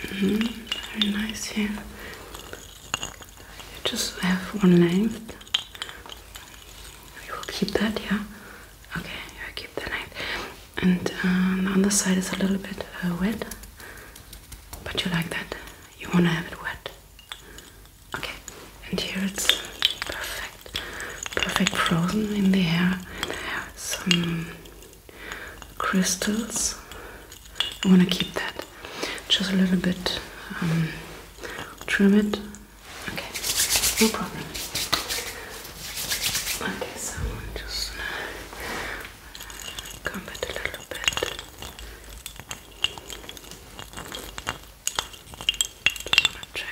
Very nice here. You just have one length. You will keep that, yeah. Okay, I keep the length. And uh, the other side is a little bit uh, wet, but you like that. You want to have it wet. Okay, and here it's perfect, perfect frozen in the air. Some crystals. I want to keep that. Just a little bit. Um, trim it. Okay, no problem. Okay, so just Come it a little bit. Just want to Okay.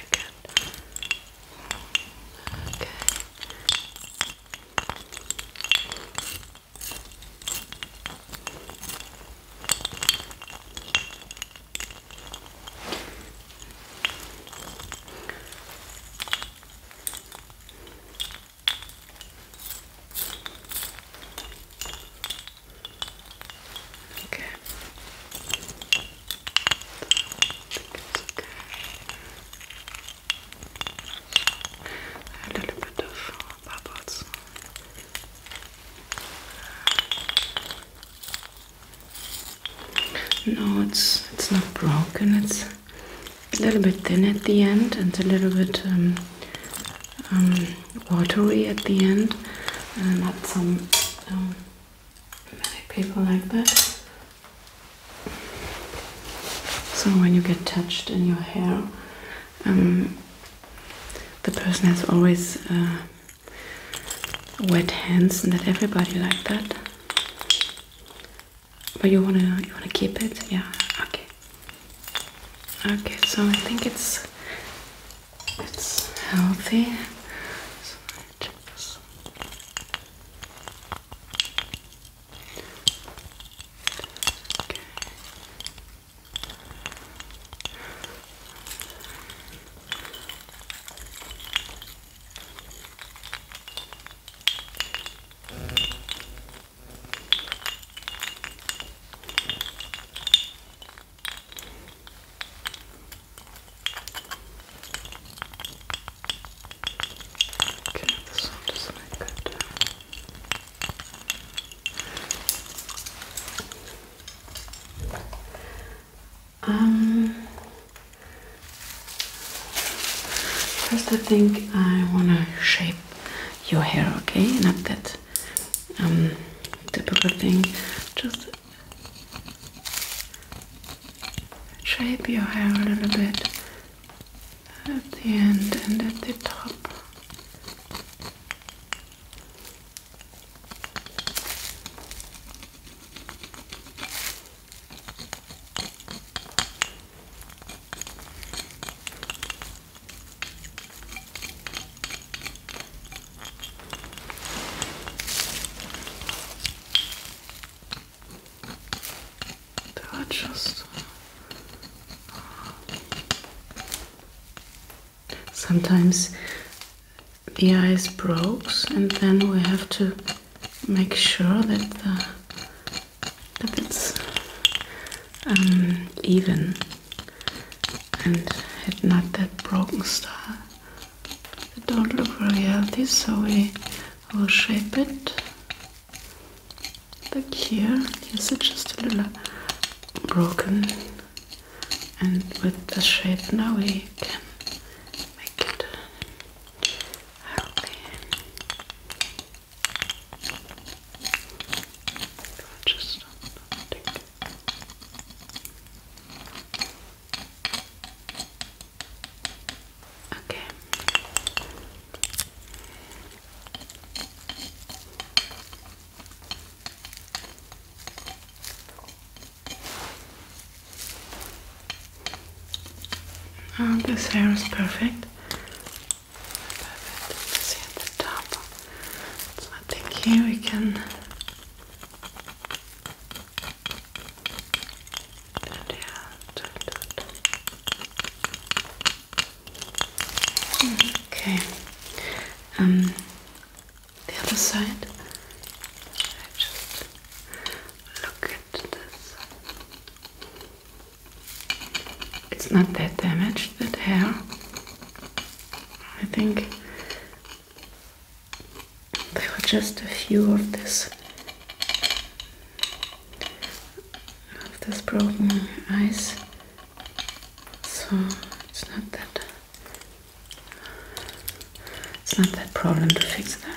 Okay. okay. A little bit of uh, No, it's it's not broken. It's a little bit thin at the end and a little bit um, um, watery at the end. not some um, people like that. So when you get touched in your hair, the person has always uh, wet hands, and that everybody like that. But you wanna you wanna keep it, yeah? Okay. Okay, so I think it's it's healthy. just Okay, this one doesn't Um, first I think I want to shape your hair, okay? Not that um, typical thing. Just shape your hair a little bit at the end and at the top. They just sometimes the ice breaks, and then we have to make sure that the if it's um, even and it's not that broken star. It don't look very healthy, so we will shape it like here. Yes, it's just a little broken, and with the shape now we can make it healthy. Okay. Oh, this hair is perfect. See at the top. So I think here we can Okay. Um, the other side. I just look at this. It's not that damaged, that hair. I think there were just a few of this of this broken ice. So it's not that it's not that problem to fix that.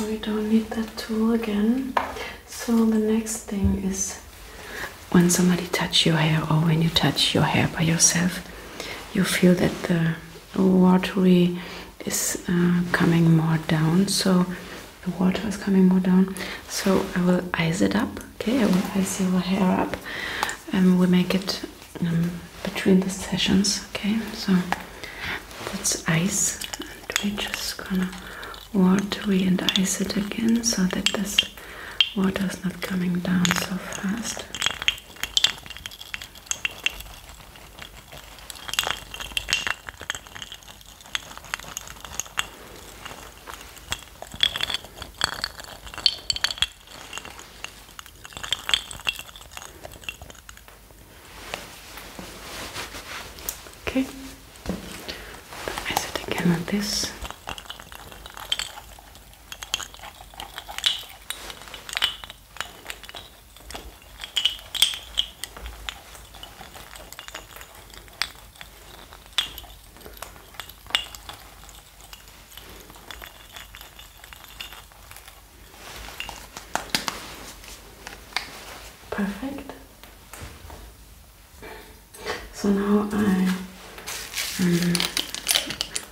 we don't need that tool again so the next thing is when somebody touch your hair or when you touch your hair by yourself you feel that the watery is uh, coming more down so the water is coming more down so i will ice it up okay i will ice your hair up and we make it um, between the sessions okay so that's ice and we're just gonna water and ice it again so that this water is not coming down so fast Okay. I sit again this perfect so now I um,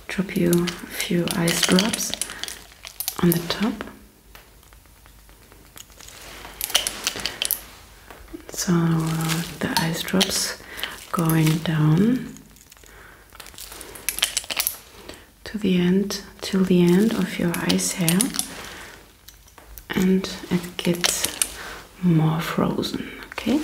drop you a few ice drops on the top so the ice drops going down to the end till the end of your ice hair and it gets more frozen, okay?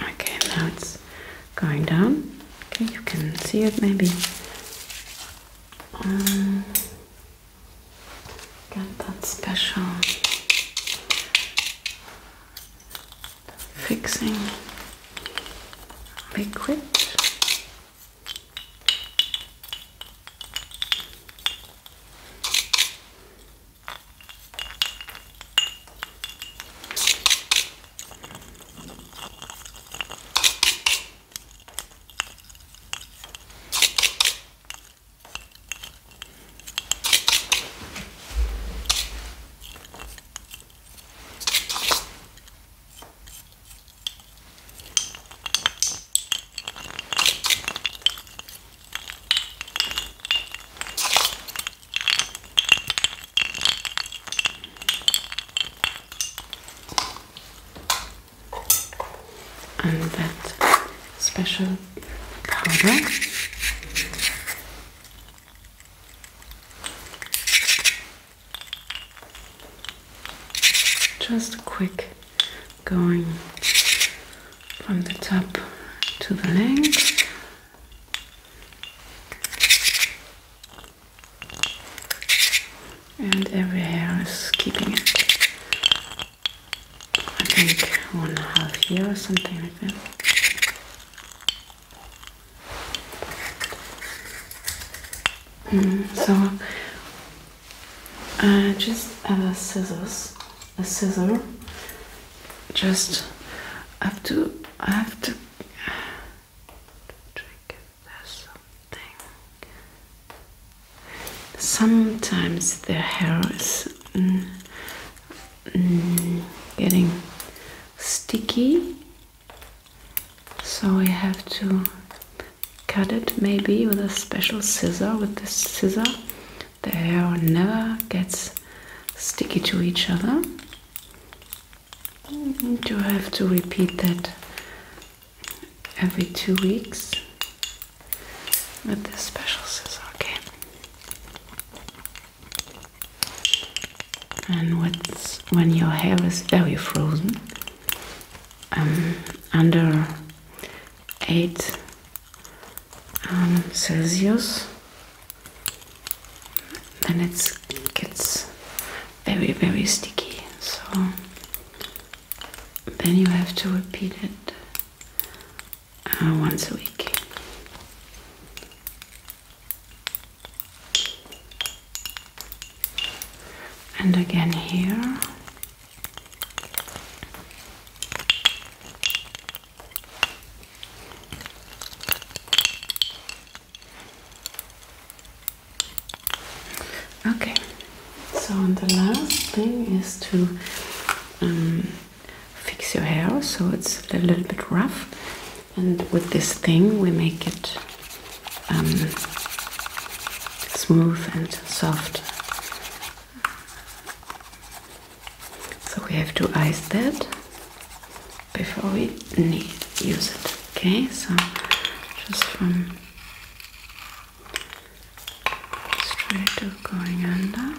Okay, now it's going down. Okay, you can see it maybe. Um, that special fixing liquid. And that special powder. Just quick going from the top to the length, And every hair is keeping it I think one and a half year or something like that. Mm, so I uh, just have a scissors, a scissor. Just have to, I have to Sometimes the hair is. Mm, Mm, getting sticky so we have to cut it maybe with a special scissor with this scissor the hair never gets sticky to each other you mm, have to repeat that every two weeks with this special scissor, okay? And what's, when your hair is very frozen, um, under 8 um, Celsius, then it gets very, very sticky. So then you have to repeat it uh, once a week. And again here. Okay, so the last thing is to um, fix your hair so it's a little bit rough. And with this thing, we make it um, smooth and soft. So we have to ice that before we use it. Okay, so just from straight to going under.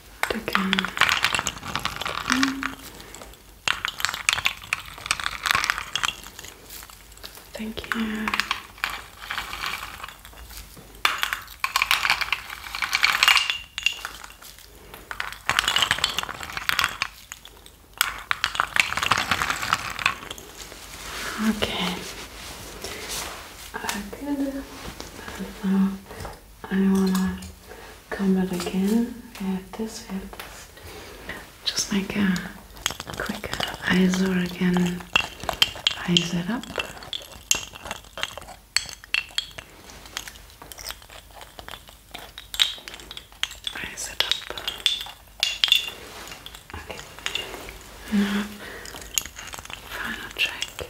taking Thank you. Okay. Uh, I wanna comb it again. We have this, we have this. Just make a quick eyesore again. Eyes it up. Eyes it up. Okay. Now, final check.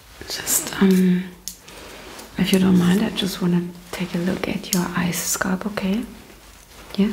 Just, um, if you don't mind, I just want to take a look at your ice scalp, okay? Yeah?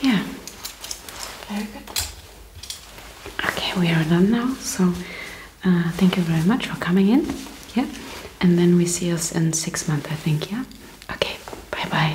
Yeah, very Okay, we are done now. So, uh, thank you very much for coming in. Yeah, and then we see us in six months, I think. Yeah, okay, bye bye.